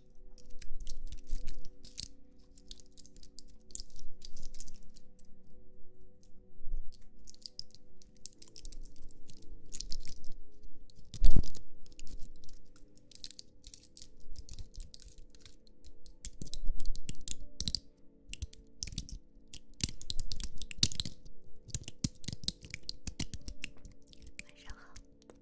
晚上好。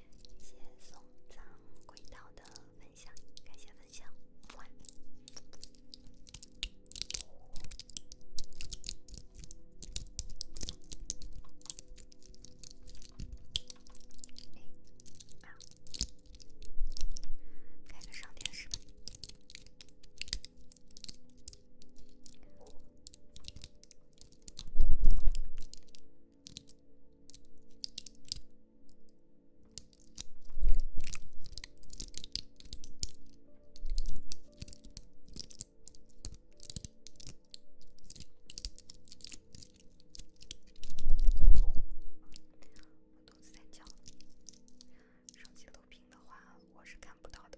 谢谢送葬轨道的分享，感谢分享，老师在讲，手机录屏的话，我是看不到的。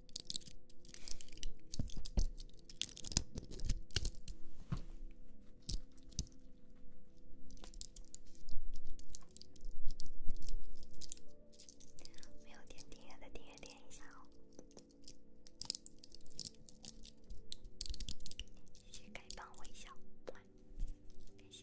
没有点订阅的订阅点一下哦！谢谢盖章微笑，感谢。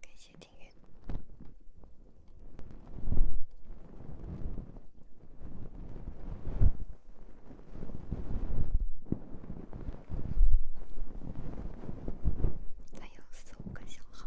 感谢订阅。还有四五个小号。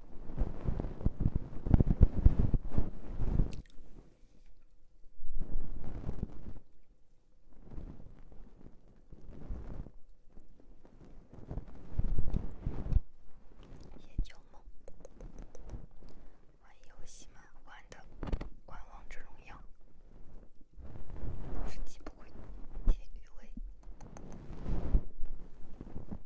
写旧梦。玩游戏嘛，玩的玩王者荣耀，是技不归，业余味。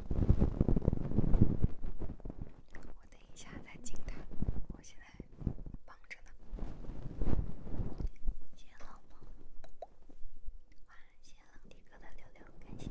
我等一下再进他，我现在忙着呢。谢好梦，谢好梦哥的六六，感谢。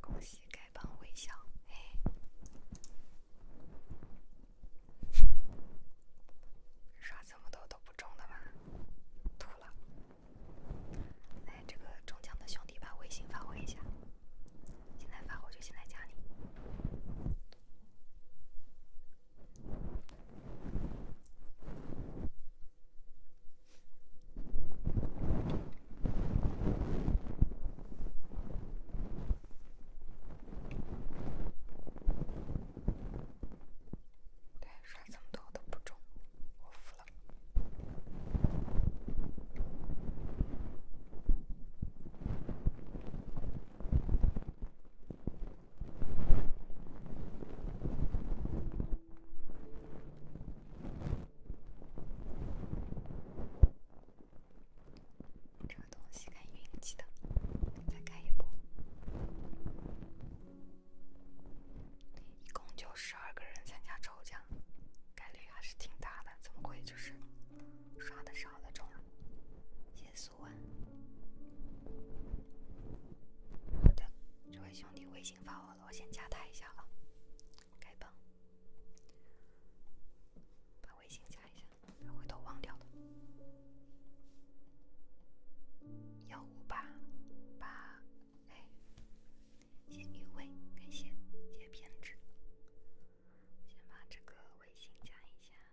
恭喜盖板微笑，嘿刷这么多都不中的吧？吐了。来，这个中奖的兄弟把微信发我一下，现在发我就现在加你。对，刷这么多都不中，我服了。这东西看运气的，再开一波，一共就十二个人参加抽奖，概率还是挺大的，怎么会就是刷的少了中？因素。好的，这位兄弟微信发我了，我先加他一下哈。开播，把微信加一下，不回头忘掉了。幺五八八，哎，谢雨薇，感谢，谢偏执，先把这个微信加一下。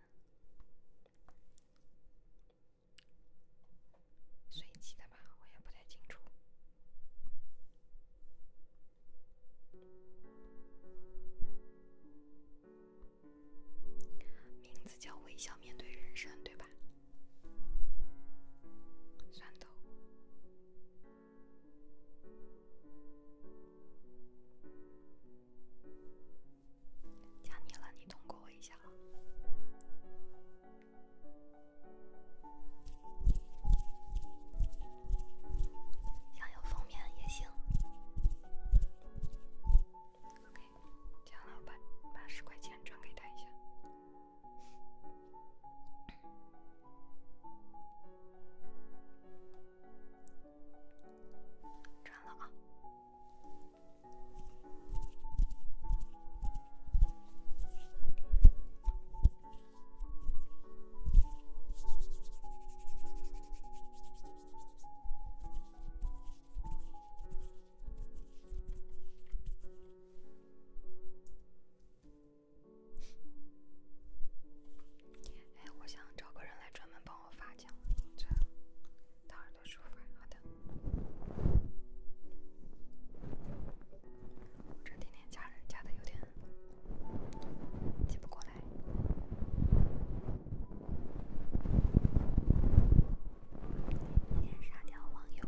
随机的吧，我也不太清楚。名字叫微笑面对人生，对吧？酸豆。加你了，你通过我一下。想要封面也行。OK，这样了，我把把十块钱转给他一下。了啊！哎，我想找个人来专门帮。我发讲，这，大耳朵舒服，好的。我这天天加人，加的有点接不过来。今天杀掉网友。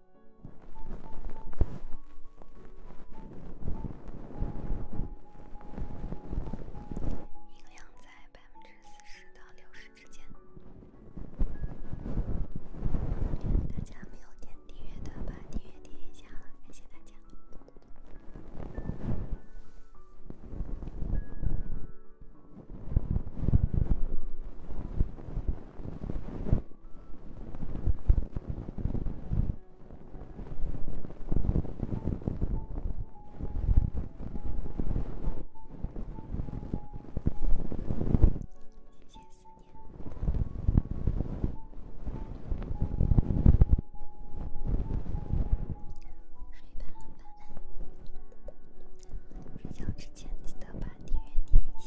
音量在百分之四十到六十之间。大家没有点订阅的，把订阅点一下，感谢大家。睡吧晚安之前记得把电源点一下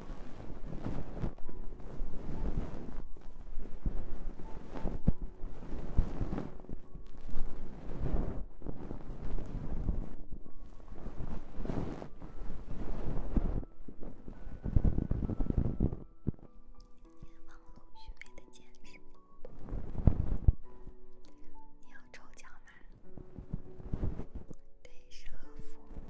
明天网络虚伪的兼职，你要抽奖吗？对，是客服。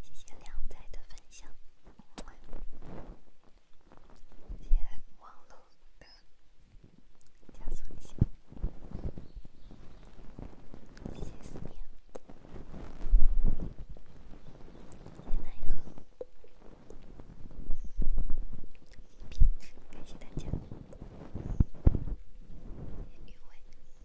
谢谢亮仔的分享，谢谢网络的加速一下。谢谢思念，谢谢男友，感谢感谢大家，谢谢余伟。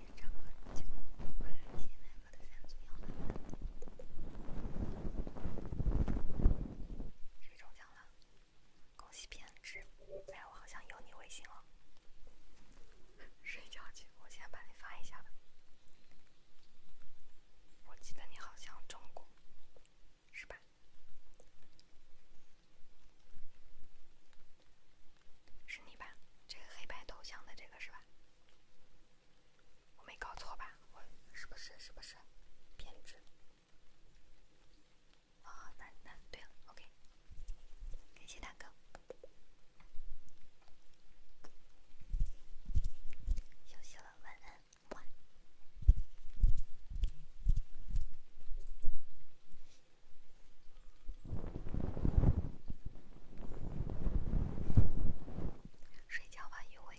中奖了！快来接麦克的三组摇篮。谁中奖了？恭喜偏执！哎，我好像有你微信了。睡觉去，我先帮你发一下吧。我记得你好像中过，是吧？是你吧？这个黑白头像的这个是吧？我没搞错吧？我是不是是不是？偏执。哦，那那对了，OK。感谢大哥，休息了，晚安，晚。睡觉吧，一会。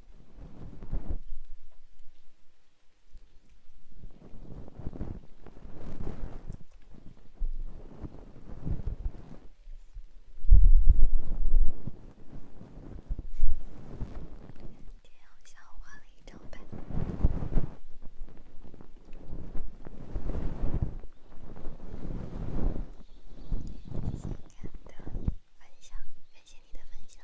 今天我下午换了一张牌分享，感谢你的分享。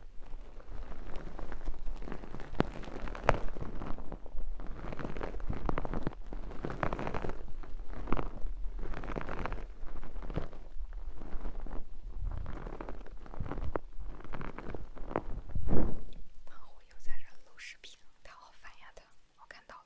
胖虎又在这录视频，他好烦呀！他，我看到了。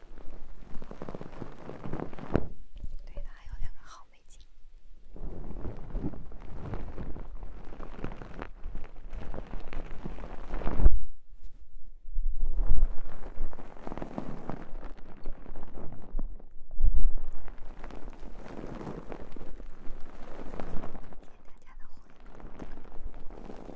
对的，还有两个好美景。